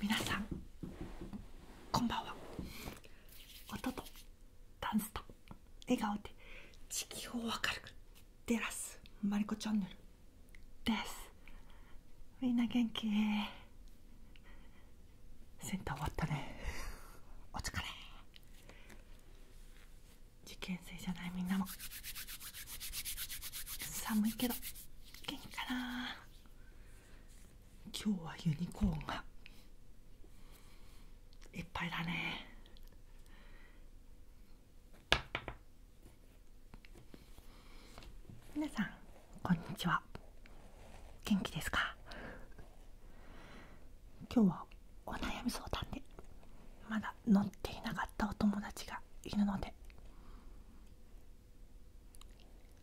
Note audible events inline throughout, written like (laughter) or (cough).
皆さんこんばんは音とダンスと笑顔で地球を明るく照らすマリコチャンネルですみんな元気センター終わったねお疲れ受験生じゃないみんなも寒いけど元気かな今日はユニコーンがいっぱいだね皆さんこんにちは元気ですか今日はお悩み相談でまだ乗っていなかお友達がいるので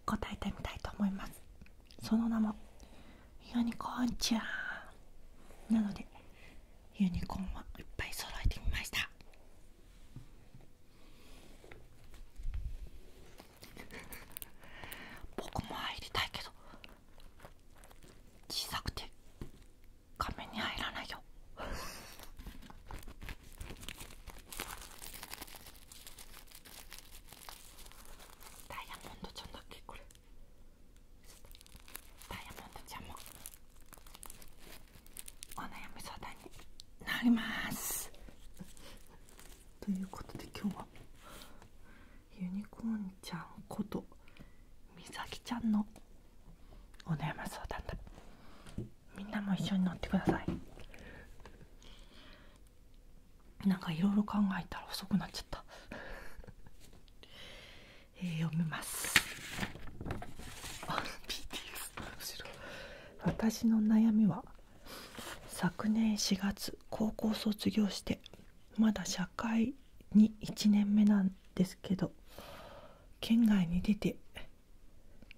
答えてみたいと思いますその名もユニコーンちゃんなのでユニコーンをいっぱい揃えてみました僕も入りたいけど小さくて画面に入らないよダイヤモンドちゃんだけこれダイヤモンドちゃんもお悩み相談になりますということで今日はユニコーンちゃんことみさきちゃんのお悩ま相談だみんなも一緒に乗ってくださいなんかいろいろ考えたら遅くなっちゃったえー、読みますあ BTS 私の悩みは昨年4月高校卒業してまだ社会に1年目なんですけど県外に出て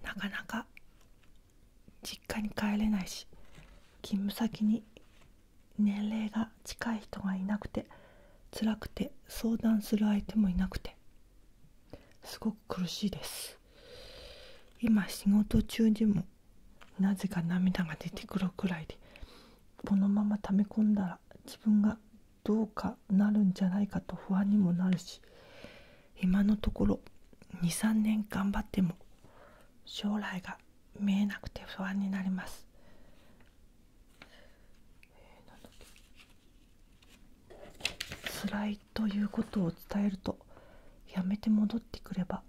なかなか実家に帰れないし勤務先に年齢が近い人がいなくて辛くて相談する相手もいなくてすごく苦しいです今仕事中にもなぜか涙が出てくるくらいでこのまま溜め込んだら自分がどうかなるんじゃないかと不安にもなるし今のところ23年頑張っても将来が見えなくて不安になります。辛いということを伝えるとやめて戻ってくれば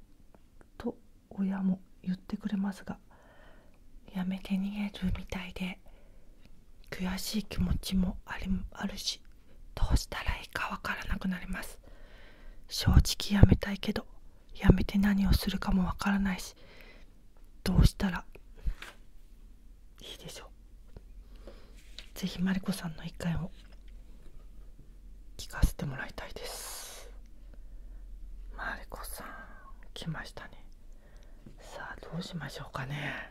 と親も言ってくれますがやめて逃げるみたいで悔しい気持ちもありあるしどうしたらいいかわからなくなります正直やめたいけどやめて何をするかもわからないしどうしたらいいでしょう是非マリコさんの意回を聞かせてもらいたいですマリコさん来ましたねさあどうしましょうかね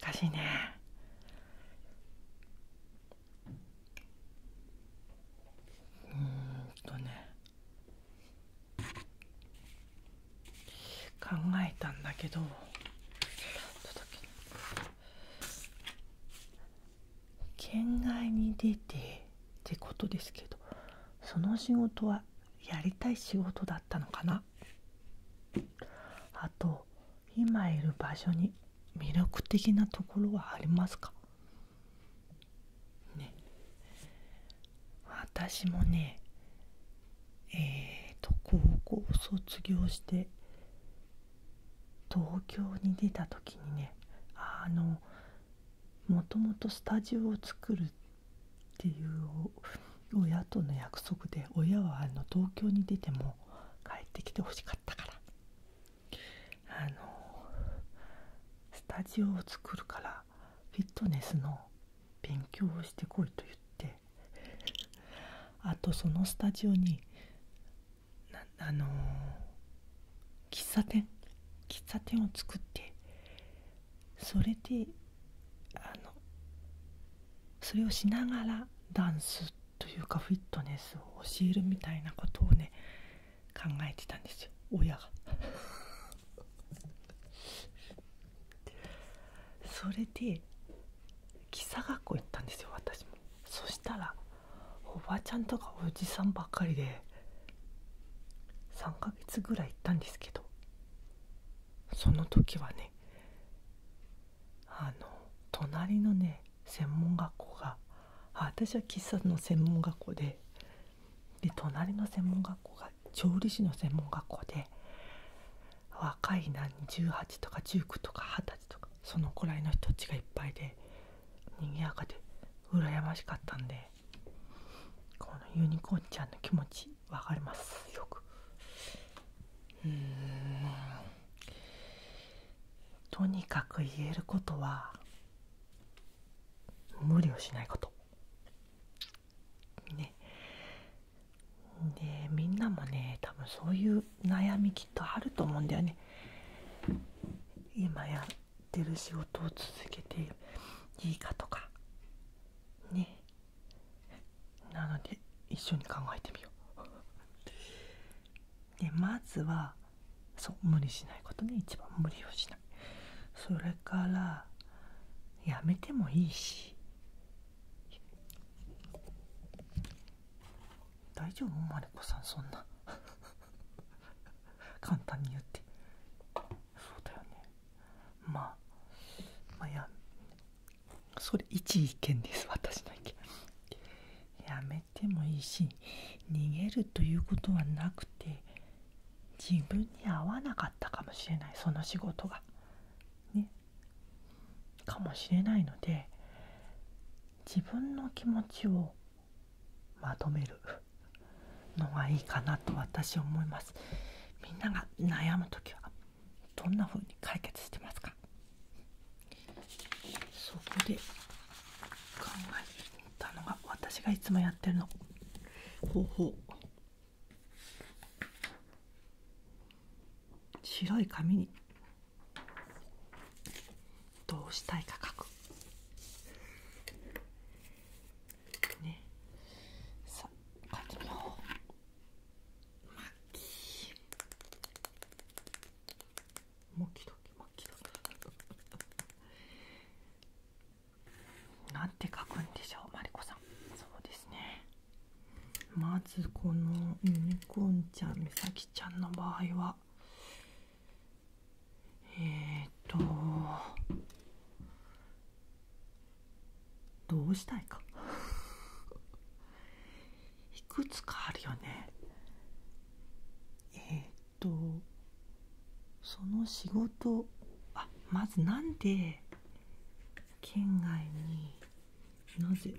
難しいねうんとね考えたんだけど県外に出てってことですけどその仕事はやりたい仕事だったのかなあと今いる場所に魅力的なところはありますかね私もねえっ、と高校卒業して東京に出た時にねあのもともとスタジオを作るっていう親との約束で親はあの東京に出ても帰ってきてほしかったからあのスタジオを作るからフィットネスの勉強をしてこいと言ってあとそのスタジオにあの喫茶店喫茶店を作ってそれであのそれをしながらダンスというかフィットネスを教えるみたいなことをね考えてたんですよ親が (laughs) それで喫茶学校行ったんですよ私もそしたらおばちゃんとかおじさんばっかりで3ヶ月ぐらい行ったんですけどその時はねあの隣のね専門学校があ私は喫茶の専門学校でで隣の専門学校が調理師の専門学校で若いな18とか19とか20歳とかそのくらいの人たちがいっぱいで賑やかで羨ましかったんでこのユニコーンちゃんの気持ちわかりますよくうんとにかく言えることは無理をしないことねでみんなもね多分そういう悩みきっとあると思うんだよね今やっる仕事を続けていいかとかねなので一緒に考えてみよう (laughs) でまずはそう無理しないことね一番無理をしないそれからやめてもいいし大丈夫マリコさんそんな (laughs) 簡単に言ってそうだよねまあまあやそれ一意見です私の意見やめてもいいし逃げるということはなくて自分に合わなかったかもしれないその仕事がねかもしれないので自分の気持ちをまとめるのがいいかなと私は思いますみんなが悩む時はどんな風に解決してますかそこで考えたのが私がいつもやってるの方法白い紙にどうしたいか書ねさあ書いてみようマッキーモキドなんて書くんでしょうマリコさんそうですねまずこのユニコーンちゃん美咲ちゃんの場合はえっ、とどうしたいか (laughs) いくつかあるよねえっ、とその仕事あまずなんで県外になぜ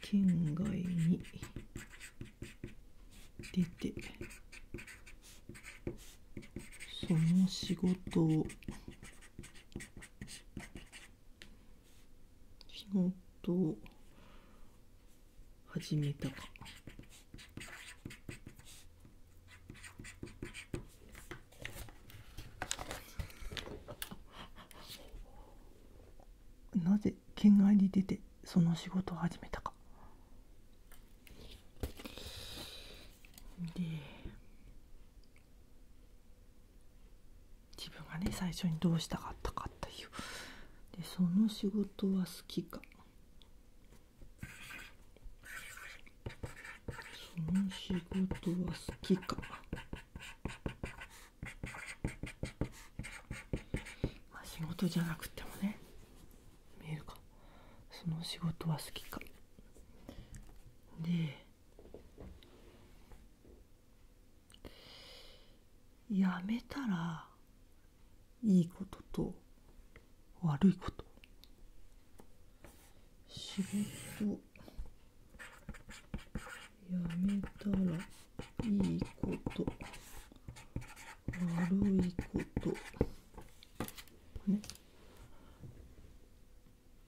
県外に出てその仕事を仕事を始めたか。なぜ県外に出てその仕事を始めたかで自分がね最初にどうしたかったかっていうでその仕事は好きかその仕事は好きかまあ仕事じゃなくてもね見えるかその仕事は好きかでやめたらいいことと悪いこと仕事やめたらいいこと悪いこと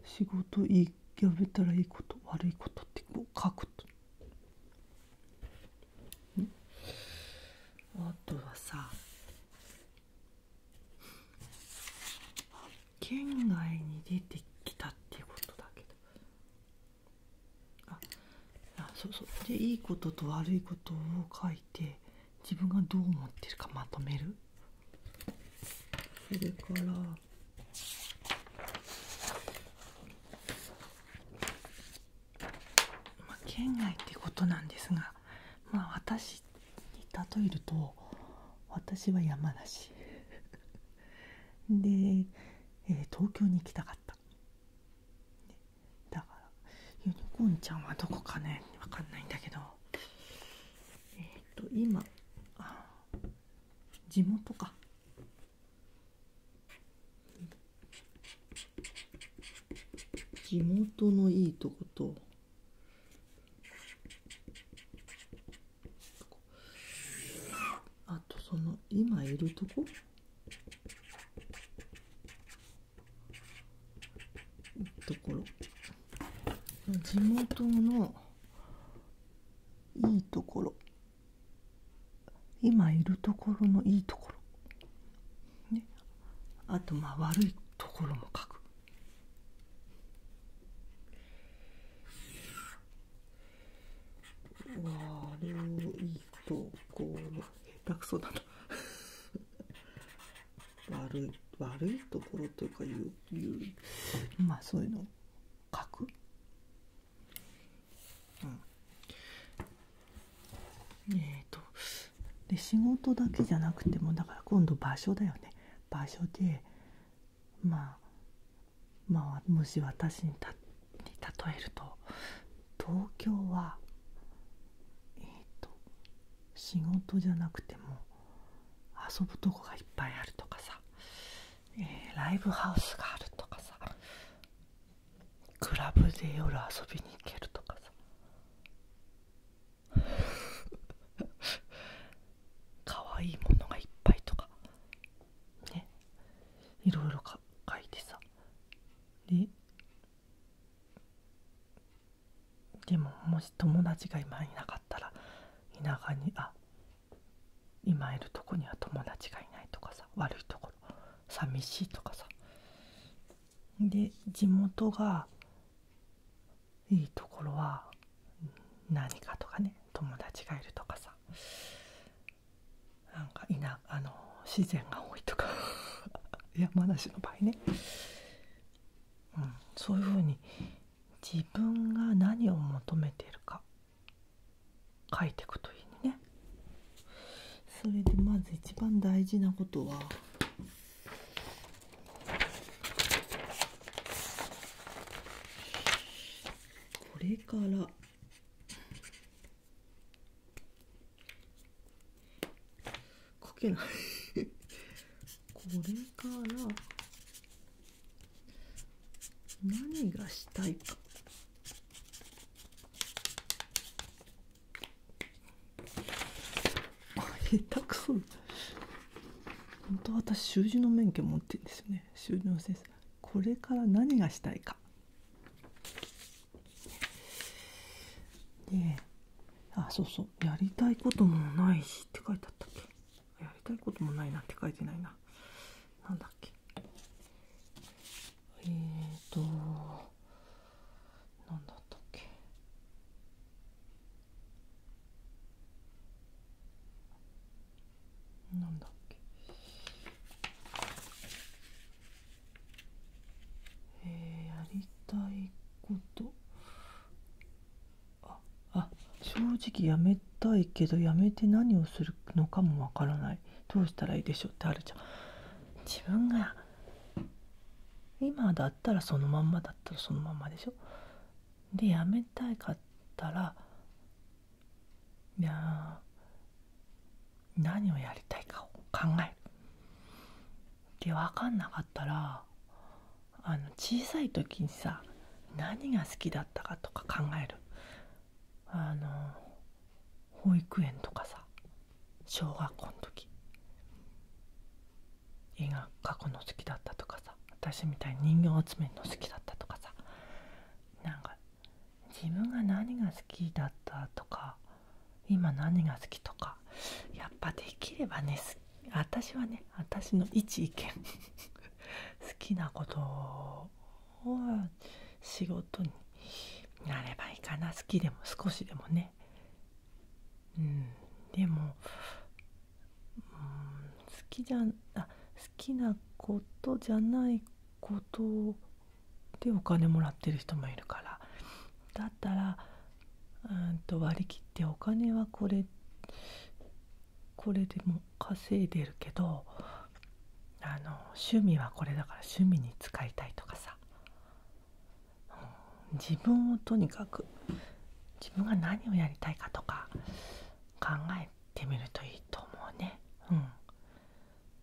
仕事いいやめたらいいこと悪いことってこう書くとあとはさ県外に出てきたっていうことだけどああそうそうでいいことと悪いことを書いて自分がどう思ってるかまとめるそれからまあ、県外ってことなんですが、まあ、私に例えると私は山梨で、えー、東京に行きたかった。、ね、だからユニコーンちゃんはどこかねわかんないんだけどえっ、と今あ地元か地元のいいとことあとその今いるとこところ地元のいいところ今いるところのいいところ、ね、あとまあ悪いところも書く悪いところ下手くそだな悪い悪いところというかいう言うまあそういうの書くうんえっ、とで仕事だけじゃなくてもだから今度場所だよね場所でまあまあもし私にに例えると東京はえっ、と仕事じゃなくても遊ぶとこがいっぱいあるとかさ、えー、ライブハウスがあるとかさクラブで夜遊びに行けるとかさ (laughs) 可愛いものがいっぱいとかねいろいろ書いてさででももし友達が今いなかったら田舎にあ今いるとこには友達がいないとかさ悪いところ寂しいとかさで地元がいいところは何かとかね友達がいるとかさなんかいなあの自然が多いとか (laughs) 山梨の場合ね、うん、そういうふうに自分が何を求めているか書いていくといいね。それでまず一番大事なことはこれから。書けないこれから何がしたいか下手くそ本当私習字の免許持ってるんですよね終了です。これから何がしたいか。で、あ、そうそう、やりたいこともないしって書いてあったっけ。やりたいこともないなって書いてないな。なんだっけ。えっ、と、なんだったっけ。なんだっけえー、やりたいことああ正直やめたいけどやめて何をするのかもわからないどうしたらいいでしょうってあるじゃん自分が今だったらそのまんまだったらそのままでしょでやめたいかったらいや何をやりたいかを考えるで分かんなかったらあの小さい時にさ何が好きだったかとか考えるあの保育園とかさ小学校の時絵が過去の好きだったとかさ私みたいに人形集めの好きだったとかさなんか自分が何が好きだったとか今何が好きとかやっぱできればね私はね私の一意見 (laughs) 好きなことを仕事になればいいかな好きでも少しでもねうんでも好きじゃあ好きなことじゃないことでお金もらってる人もいるからだったらうんと割り切ってお金はこれこれでも稼いでるけどあの趣味はこれだから趣味に使いたいとかさ、自分をとにかく自分が何をやりたいかとか考えてみるといいと思うね。うん、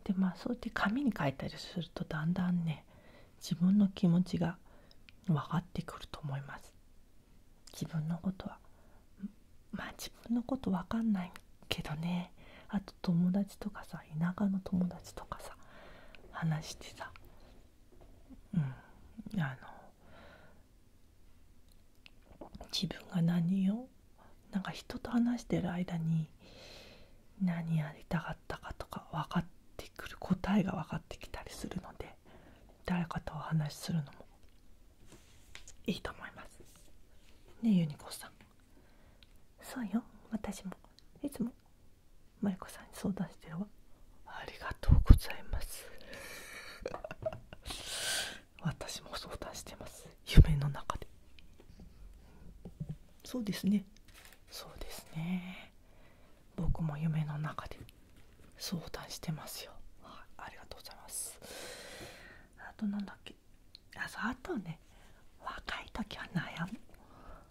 でまあそうやって紙に書いたりするとだんだんね自分の気持ちが分かってくると思います。自分のことはまあ自分のこと分かんないけどねあと友達とかさ田舎の友達とかさ話してさ、うん、あの自分が何をなんか人と話してる間に何やりたかったかとか分かってくる答えが分かってきたりするので誰かとお話しするのもいいと思いますねユニコさんそうよ私もいつもマリコさんに相談してるわありがとうございます私も相談してます夢の中でそうですねそうですね僕も夢の中で相談してますよありがとうございますあと何だっけああとね若い時は悩む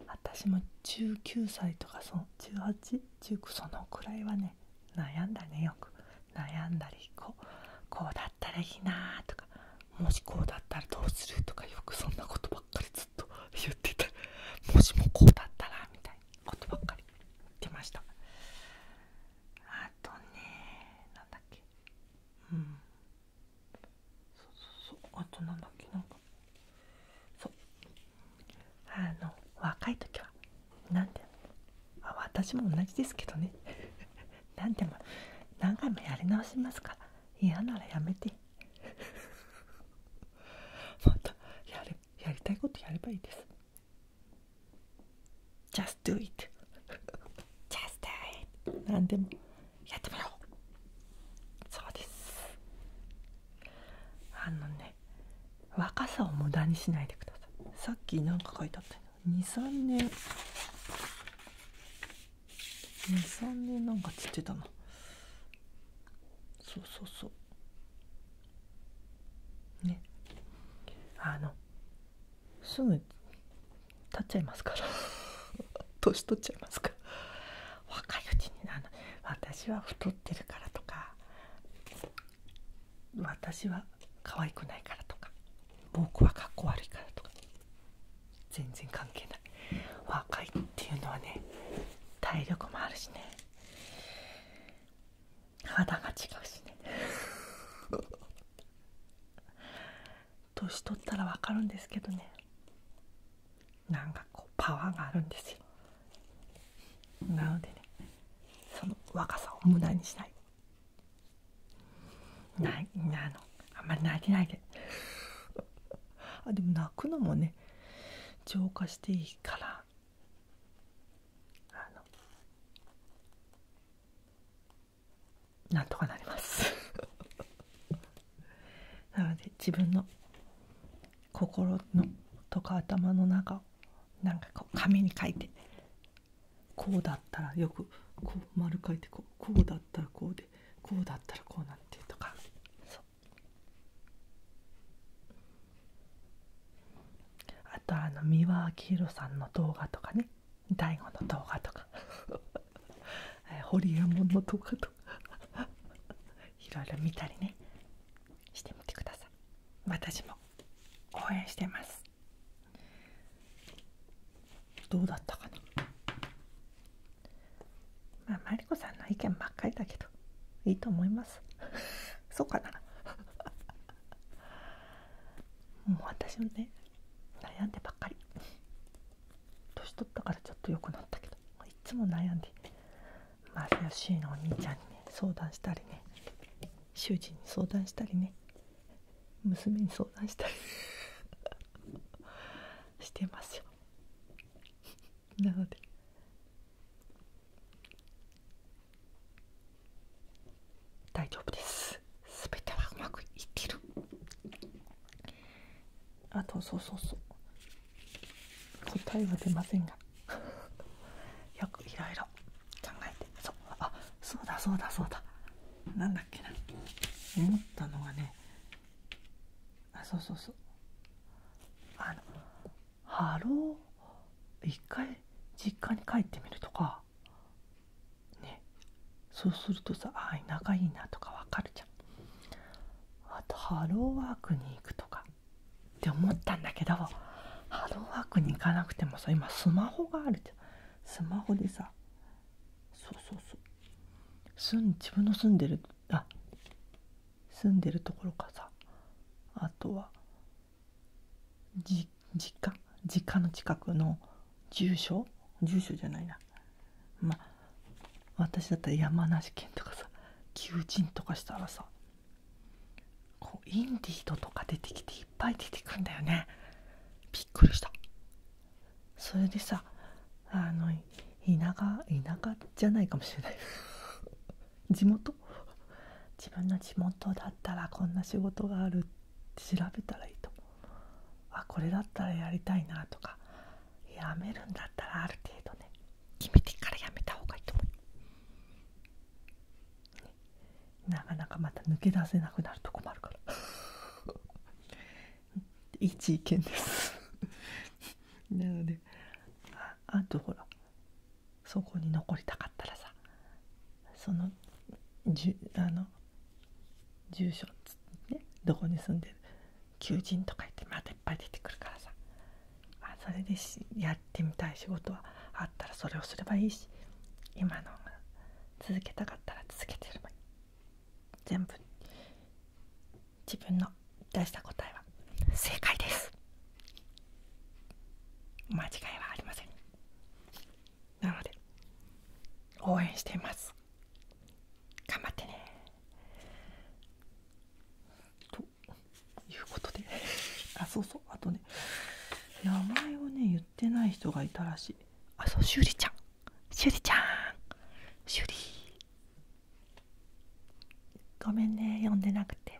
私も19歳とかその1819そのくらいはね悩んだねよく悩んだりこうこうだったらいいなとかもしこうだったらどうするとかよくそんなことばっかりずっと言ってたもしもこうだったらみたいなことばっかり言ってましたあとねなんだっけうんそうそうそうあとなんだっけなかそうあの若い時は何であ私も同じですけどね何 (laughs) でも何回もやり直しますから嫌ならやめて (laughs) またやれやりたいことやればいいです Just do it (laughs) Just do it 何でもやってみようそうですあのね若さを無駄にしないでくださいさっき何か書いてあった23年23年なんかつってたなそうそうそうねあのすぐ経っちゃいますから (laughs) 年取っちゃいますから若いうちにな私は太ってるからとか私は可愛くないからとか僕はかっこ悪いからとか全然関係ない若いっていうのはね体力もあるしね肌が違うしね (laughs) 年取ったら分かるんですけどねなんかこうパワーがあるんですよなのでねその若さを無駄にしないないなのあんまり泣いないで (laughs) あでも泣くのもね浄化していいからあのなんとかなります (laughs) なので自分の心のとか頭の中をなんかこう紙に書いてこうだったらよくこう丸書いてこうこうだったらこうでこうだったらこうなんてとかあとあの三輪明宏さんの動画とかね大悟の動画とかホリエモの動画とか (laughs) いろいろ見たりねしてみてください私も。応援してますどうだったかなまあマリコさんの意見ばっかりだけどいいと思います (laughs) そうかな (laughs) もう私もね悩んでばっかり年取ったからちょっと良くなったけどいつも悩んでマルヤシーのお兄ちゃんにね相談したりね主人に相談したりね娘に相談したり (laughs) してますよなので大丈夫ですすべてはうまくいってるあとそうそうそう答えは出ませんがよくいろいろ考えてそうあそうだそうだそうだなんだっけな思ったのがねあそうそうそうあのハロー一回実家に帰ってみるとかねそうするとさああ、いいなとかわかるじゃんあとハローワークに行くとかって思ったんだけどハローワークに行かなくてもさ今スマホがあるじゃんスマホでさそうそうそう自分の住んでるあ住んでるところかさあとはじ実家実家の近くの住所住所じゃないなまあ私だったら山梨県とかさ求人とかしたらさこうインディードとか出てきていっぱい出てくんだよねびっくりしたそれでさあの田舎田舎じゃないかもしれない (laughs) 地元自分の地元だったらこんな仕事があるって調べたらいいと思うあこれだったらやりたいなとかやめるんだったらある程度ね決めてからやめた方がいいと思うなかなかまた抜け出せなくなると困るから一意 (laughs) 見です (laughs) なのでああとほらそこに残りたかったらさそのじゅあの住所ねどこに住んでる求人とか言ってまたいっぱい出てくるからさあ、それでしやってみたい仕事はあったらそれをすればいいし今の続けたかったら続けてればいい全部自分の出した答えは正解です間違いはありませんなので応援しています頑張ってねと。いうことであそうそうあとね名前をね言ってない人がいたらしいあそうしゅりちゃんしゅりちゃんしゅりごめんね呼んでなくて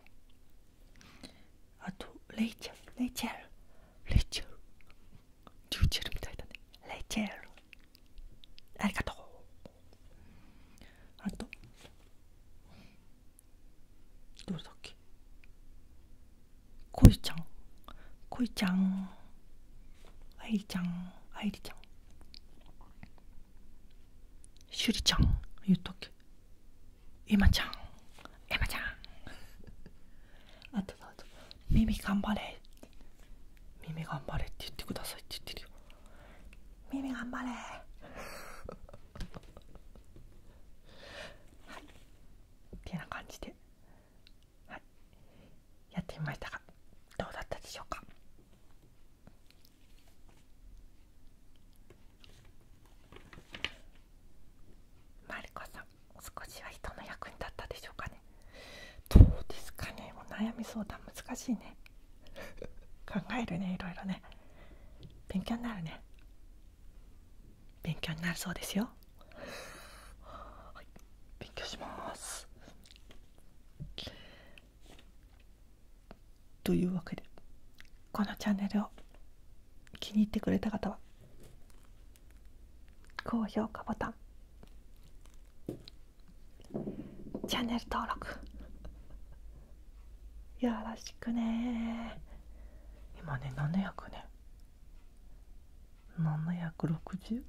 あとレイチェルレイチェルレイチェルリューチェルみたいだねレイチェルありがとうあとどれだっけこいちゃんこいちゃんあいちゃんあいちゃんしゅりちゃんゆったっけエマちゃんいまちゃん (laughs) あとあとミ頑張れ耳頑張れって言ってくださいって言ってるよ耳頑張れ (laughs) はいっていうな感じで、はい、やってみましたがどうだったでしょうかまりこさん少しは人の役に立ったでしょうかねどうですかねもう悩み相談難しいね (laughs) 考えるねいろいろね勉強になるね勉強になるそうですよはい勉強しますというわけでこのチャンネルを気に入ってくれた方は高評価ボタンチャンネル登録よろしくね今ね700ね760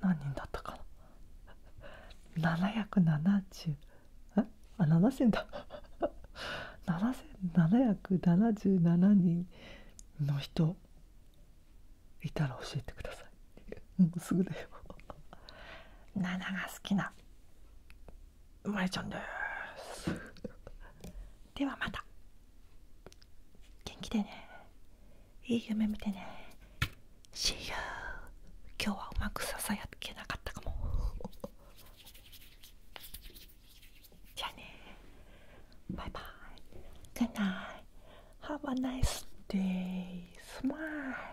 何人だったかな770えあ7000だ7777人の人いたら教えてくださいもうすぐだよ7が好きなまりちゃんです (laughs) ではまた元気でねいい夢見てね See you 今日はうまくささやけなかったかも (laughs) じゃあねバイバイ Good night Have a nice day s m i l